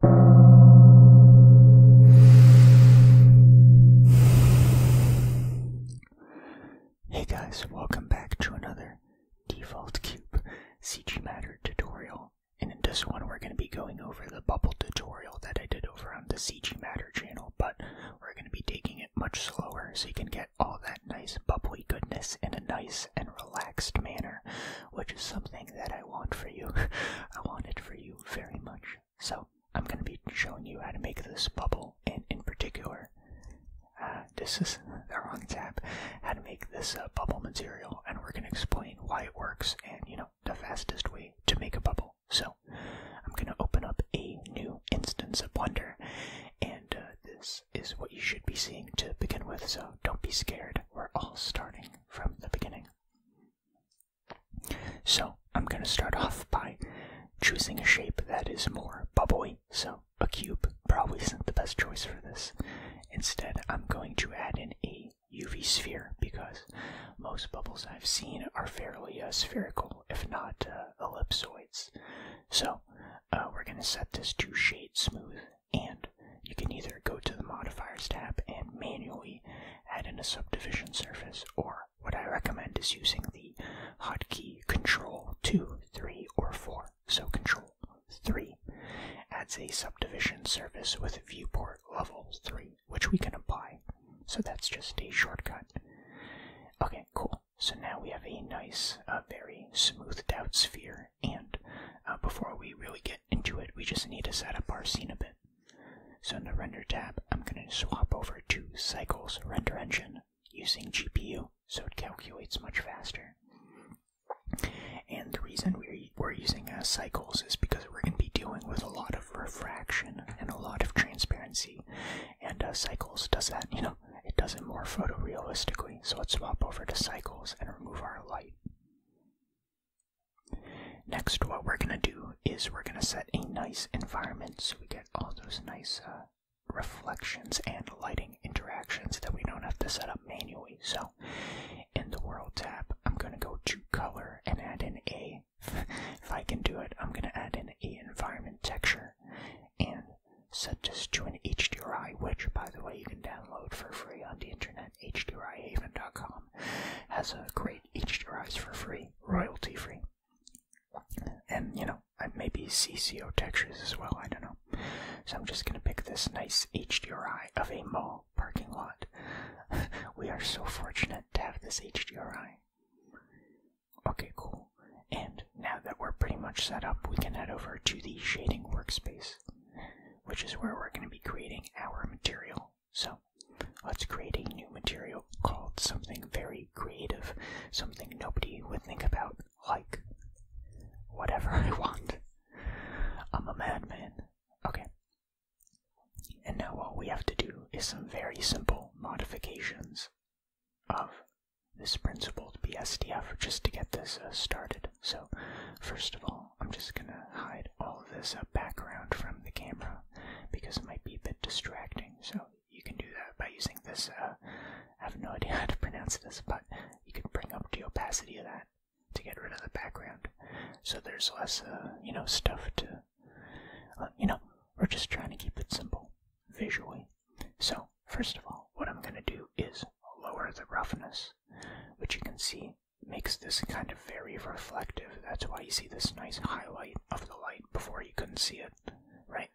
Hey guys, welcome back to another Default Cube CG Matter tutorial. And in this one, we're going to be going over the bubble tutorial that I did over on the CG Matter channel, but we're going to be taking it much slower so you can get all that nice bubbly goodness in a nice and relaxed manner which is something that I want for you. I want it for you very much. So I'm going to be showing you how to make this bubble, and in particular, uh, this is the wrong tab, how to make this uh, bubble material, and we're going to explain why it works and, you know, the fastest way to make a bubble. So I'm going to open up a new instance of Blender, and uh, this is what you should be seeing to begin with, so don't be scared. We're all starting from the beginning. So I'm going to start off by choosing a shape that is more bubbly, so a cube probably isn't the best choice for this. Instead, I'm going to add in a UV sphere because most bubbles I've seen are fairly uh, spherical, if not uh, ellipsoids. So uh, we're going to set this to shade smooth and you can either go to the modifiers tab and manually add in a subdivision surface, or what I recommend is using the hotkey Control 2, 3, or 4. So Control 3 adds a subdivision surface with viewport level 3, which we can apply. So that's just a shortcut. Okay, cool. So now we have a nice, uh, very smoothed out sphere and uh, before we really get into it, we just need to set up our scene a bit. So in the render tab, I'm going to swap over to Cycles Render Engine using GPU so it calculates much faster. And the reason we're, using uh, cycles is because we're going to be dealing with a lot of refraction and a lot of transparency. And uh, cycles does that, you know, it does it more photorealistically. So let's swap over to cycles and remove our light. Next, what we're going to do is we're going to set a nice environment so we get all those nice uh, reflections and lighting interactions that we don't have to set up manually. So, in the World tab, I'm going to go to Color and add in a, if I can do it, I'm going to add in a environment texture. And Set this to an HDRI, which, by the way, you can download for free on the internet. HDRIhaven.com has a great HDRIs for free, royalty free. And, you know, maybe CCO textures as well, I don't know. So I'm just going to pick this nice HDRI of a mall parking lot. we are so fortunate to have this HDRI. Okay, cool. And now that we're pretty much set up, we can head over to the shading workspace, which is where we're going to be creating our material. So let's create a new material called something very creative, something nobody would think about, like whatever I want. I'm a madman. Okay. And now all we have to do is some very simple modifications of this principle to be SDF just to get this uh, started. So first of all, I'm just gonna hide all of this uh, background from the camera because it might be a bit distracting. So you can do that by using this. Uh, I have no idea how to pronounce this, but you can bring up the opacity of that to get rid of the background. So there's less, you know, stuff to, you know, we're just trying to keep it simple visually. So first of all, what I'm going to do is lower the roughness, which you can see makes this kind of very reflective. That's why you see this nice highlight of the light before you couldn't see it, right?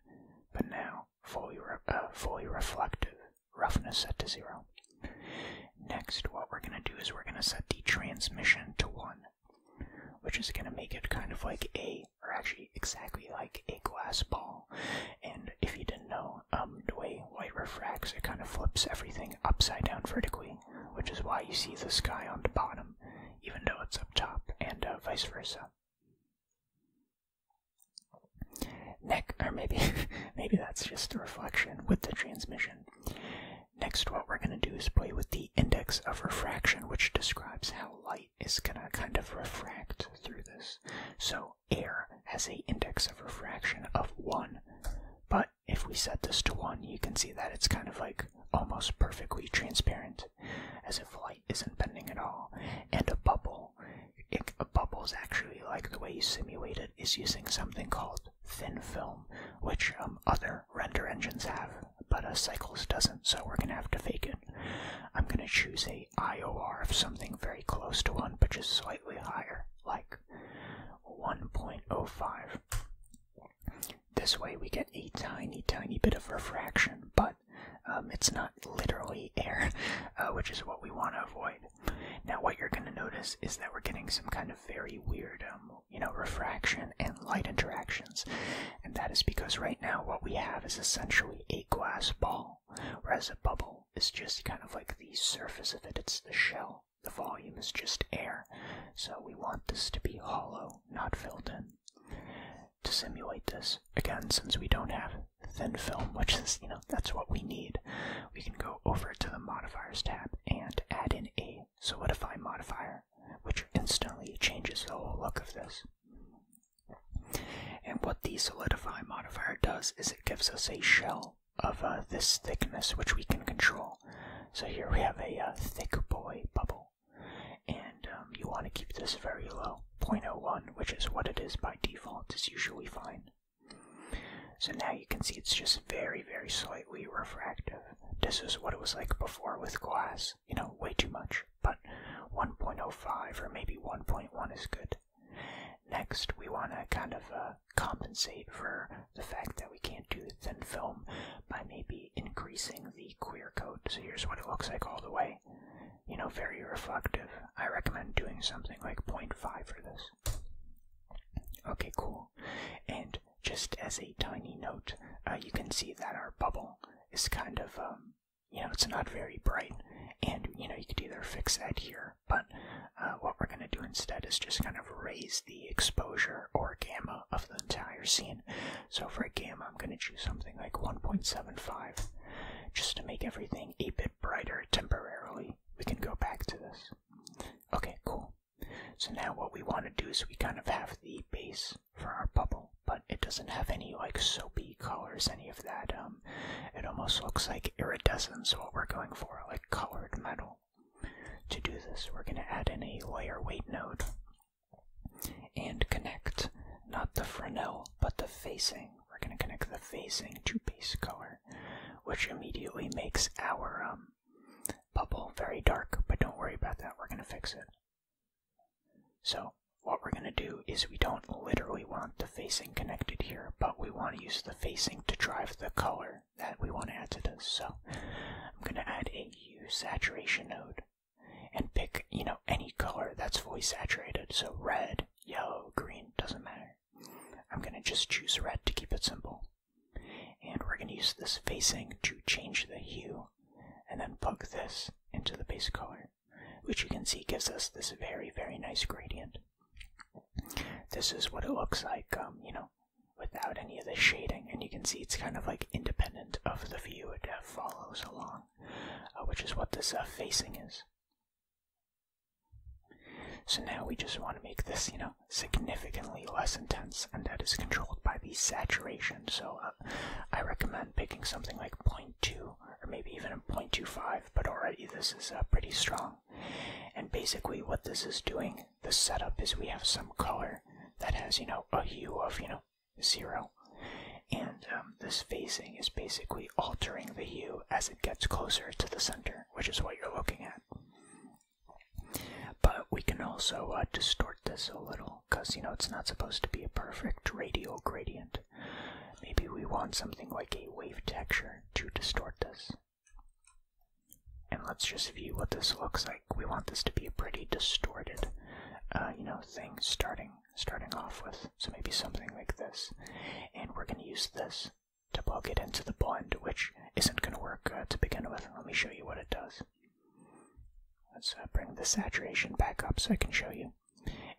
But now, fully, uh, fully reflective, roughness set to zero. Next, what we're going to do is we're going to set the transmission to one, which is going to make it kind of like a are actually exactly like a glass ball. And if you didn't know, um, the way light refracts, it kind of flips everything upside down vertically, which is why you see the sky on the bottom, even though it's up top, and uh, vice versa. Next, or maybe, maybe that's just the reflection with the transmission. Next, what we're going to do is play with the index of refraction, which describes how light is going to kind of refract through this. So air has a index of refraction of 1, but if we set this to 1, you can see that it's kind of like almost perfectly transparent, as if light isn't bending at all. And a bubble, bubbles actually like the way you simulate it is using something called thin film, which um, other render engines have, but a Cycles doesn't, so we're going to have to fake it. I'm going to choose a IOR of something very close to 1 but just slightly higher, like 1.05. This way we get a tiny, tiny bit of refraction, but um, it's not literally air, uh, which is what we want to avoid. Now, what you're going to notice is that we're getting some kind of very weird, um, you know, refraction and light interaction. And that is because right now what we have is essentially a glass ball, whereas a bubble is just kind of like the surface of it, it's the shell. The volume is just air. So we want this to be hollow, not filled in. To simulate this, again, since we don't have thin film, which is, you know, that's what we need, we can go over to the modifiers tab and add in a solidify modifier, which instantly changes the whole look of this. And what the solidify modifier does is it gives us a shell of uh, this thickness which we can control. So here we have a uh, thick boy bubble. And um, you want to keep this very low, 0.01, which is what it is by default, is usually fine. So now you can see it's just very, very slightly refractive. This is what it was like before with glass you know, way too much, but 1.05 or maybe 1.1 is good. Next, we want to kind of uh, compensate for the fact that we can't do thin film by maybe increasing the queer coat. So here's what it looks like all the way. You know, very reflective. I recommend doing something like 0.5 for this. Okay, cool. And just as a tiny note, uh, you can see that our bubble is kind of, um, you know, it's not very bright, and you know, you could either fix that here, but uh, what we're going to do instead is just kind of raise the exposure or gamma of the entire scene. So for a gamma, I'm going to choose something like 1.75 just to make everything a bit brighter temporarily. We can go back to this. Okay, cool. So now what we want to do is we kind of have the base for our bubble, but it doesn't have any like soapy colors, any of that. Um, it almost looks like iridescence, what we're going for, like colored metal. To do this, we're going to add in a layer weight node and connect not the Fresnel, but the facing. We're going to connect the facing to base color, which immediately makes our um, bubble very dark, but don't worry about that, we're going to fix it. So what we're going to do is we don't literally want the facing connected here, but we want to use the facing to drive the color that we want to add to this. So I'm going to add a hue saturation node and pick, you know, any color that's fully saturated. So red, yellow, green, doesn't matter. I'm going to just choose red to keep it simple. And we're going to use this facing to change the hue and then plug this into the base color, which you can see gives us this very, very nice gradient. This is what it looks like, um, you know, without any of the shading, and you can see it's kind of like independent of the view, it follows along, uh, which is what this uh, facing is. So now we just want to make this, you know, significantly less intense, and that is controlled by the saturation. So uh, I recommend picking something like 0.2 or maybe even a 0.25, but already this is uh, pretty strong. And basically, what this is doing, the setup is we have some color that has, you know, a hue of, you know, zero. And um, this phasing is basically altering the hue as it gets closer to the center, which is what you're looking at. But we can also uh, distort this a little because, you know, it's not supposed to be a perfect radial gradient. Maybe we want something like a wave texture to distort this. And let's just view what this looks like. We want this to be a pretty distorted, uh, you know, thing starting starting off with. So maybe something like this. And we're going to use this to plug it into the blend, which isn't going to work uh, to begin with. Let me show you what it does. Let's uh, bring the saturation back up so I can show you.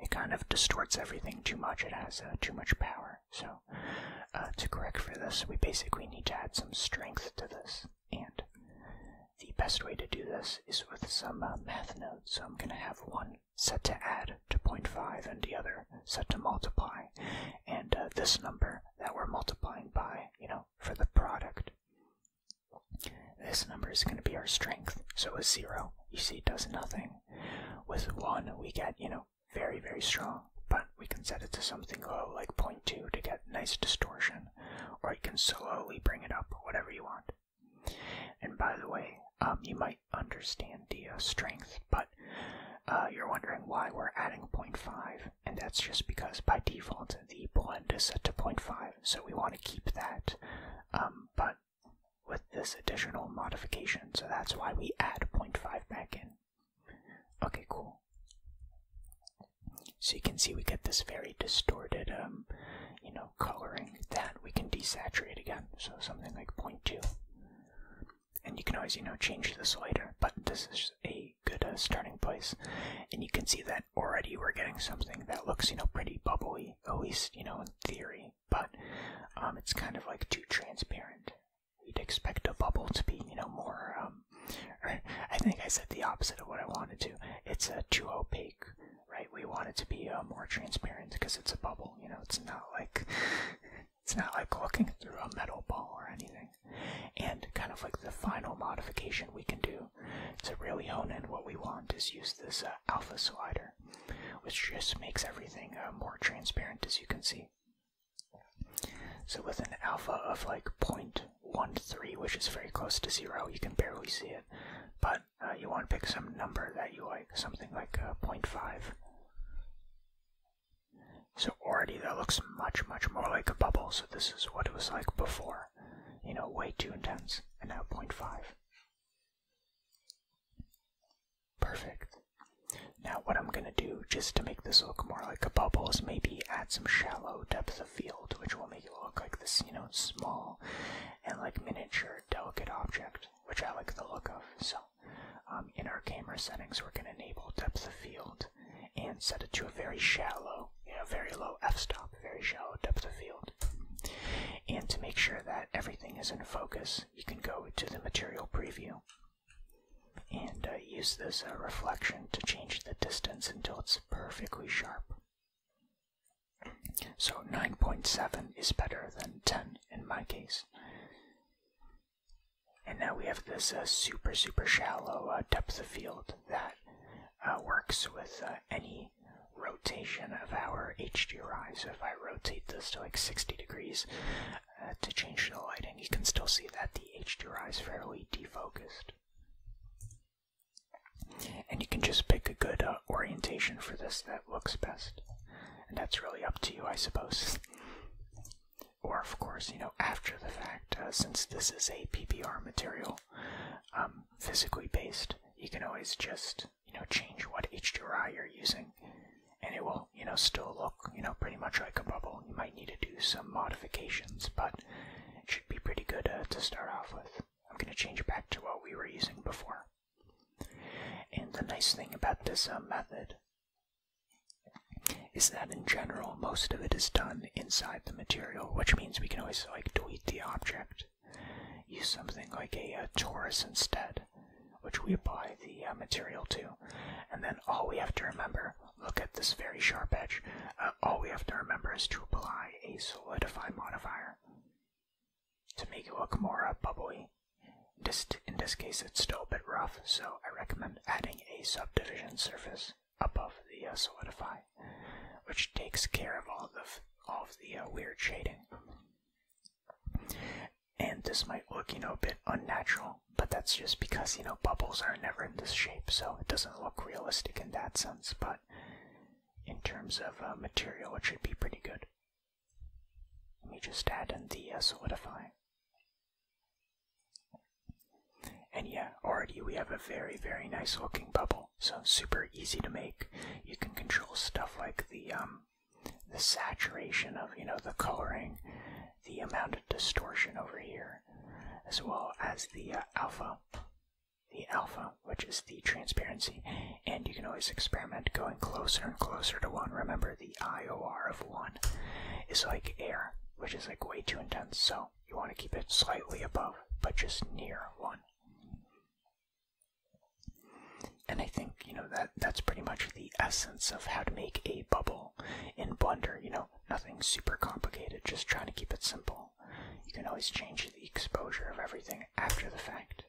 It kind of distorts everything too much. It has uh, too much power. So to correct for this, we basically need to add some strength to this. And the best way to do this is with some math nodes. So I'm going to have one set to add to 0.5 and the other set to multiply and uh, this number that we're multiplying by, you know, for the product. This number is going to be our strength. So a 0, you see, it does nothing. With 1, we get, you know, very, very strong, but we can set it to something low, like 0.2, to get nice distortion, or you can slowly bring it up, whatever you want. And by the way, um, you might understand the uh, strength, but uh, you're wondering why we're adding 0.5, and that's just because by default the blend is set to 0.5, so we want to keep that, um, but with this additional modification, so that's why we add 0.5 back in. Okay, cool. So you can see we get this very distorted, um, you know, coloring that we can desaturate again, so something like 0.2 and you can always you know change this later but this is a good uh, starting place and you can see that already we're getting something that looks you know pretty bubbly at least you know in theory but um, it's kind of like too transparent we would expect a bubble to be you know more um, i think i said the opposite of what i wanted to it's uh, too opaque right we want it to be uh, more transparent because it's a bubble you know it's not like it's not like looking through a metal ball or anything. And kind of like the final modification we can do to really hone in what we want is use this uh, alpha slider, which just makes everything uh, more transparent as you can see. So with an alpha of like 0.13, which is very close to zero, you can barely see it. But uh, you want to pick some number that you like, something like 0.5. So already that looks much, much more like a bubble. So this is what it was like before. You know, way too intense. And now 0.5. Perfect. Now what I'm going to do, just to make this look more like a bubble, is maybe add some shallow depth of field, which will make it look like the scene is small and like miniature, delicate object, which I like the look of. So um, in our camera settings, we're going to enable depth of field and set it to a very shallow, you very low f-stop, very shallow depth of field. And to make sure that everything is in focus, you can go to the material preview and uh, use this uh, reflection to change the distance until it's perfectly sharp. So 9.7 is better than 10 in my case. And now we have this uh, super, super shallow uh, depth of field that uh, works with any rotation of our HDR. So if I rotate this to like 60 degrees to change the lighting, you can still see that the HDR is fairly defocused. And you can just pick a good orientation for this that looks best and that's really up to you, I suppose. or, of course, you know, after the fact, uh, since this is a PPR material, um, physically based, you can always just, you know, change what HDRI you're using, and it will, you know, still look, you know, pretty much like a bubble. You might need to do some modifications, but it should be pretty good uh, to start off with. I'm going to change it back to what we were using before. And the nice thing about this uh, method is that in general, most of it is done inside the material, which means we can always like delete the object, use something like a, uh, torus instead, which we apply the uh, material to. And then all we have to remember, look at this very sharp edge, all we have to remember is to apply a solidify modifier to make it look more uh, bubbly. In this, case, it's still a bit rough, so I recommend adding a subdivision surface above the uh, solidify, which takes care of all of the, uh, weird shading. And this might look, you know, a bit unnatural, but that's just because, you know, bubbles are never in this shape, so it doesn't look realistic in that sense, but in terms of material, it should be pretty good. Let me just add in the uh, solidify. And yeah, already we have a very, very nice looking bubble. So super easy to make. You can control stuff like the um, the saturation of you know the coloring, the amount of distortion over here, as well as the uh, alpha. The alpha which is the transparency. And you can always experiment going closer and closer to 1. Remember, the IOR of 1 is like air, which is like way too intense, so you want to keep it slightly above, but just near 1. And I think, you know, that that's pretty much the essence of how to make a bubble in Blender. You know, nothing super complicated, just trying to keep it simple. You can always change the exposure of everything after the fact.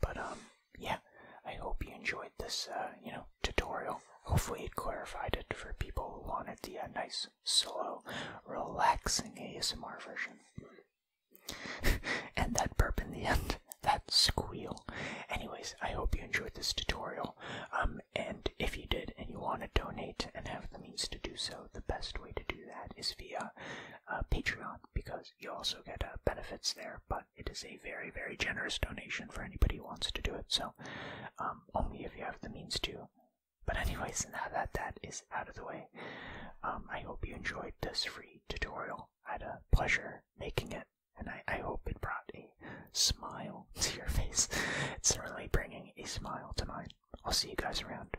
But um, yeah, I hope you enjoyed this uh, you know tutorial. Hopefully, it clarified it for people who wanted the nice, slow, relaxing ASMR version. and that burp in the end, that squeal. Anyways, I hope you enjoyed this tutorial. Um, and if you did and you want to donate and have the means to do so, the best way to do that is via uh, Patreon because you also get uh, benefits there, but it is a very, very generous donation for anybody who wants to do it, so um, only if you have the means to. But anyways, now that that is out of the way, um, I hope you enjoyed this free tutorial. I had a pleasure making it, and I, hope it brought a smile to your face. It's really bringing a smile to mine. I'll see you guys around.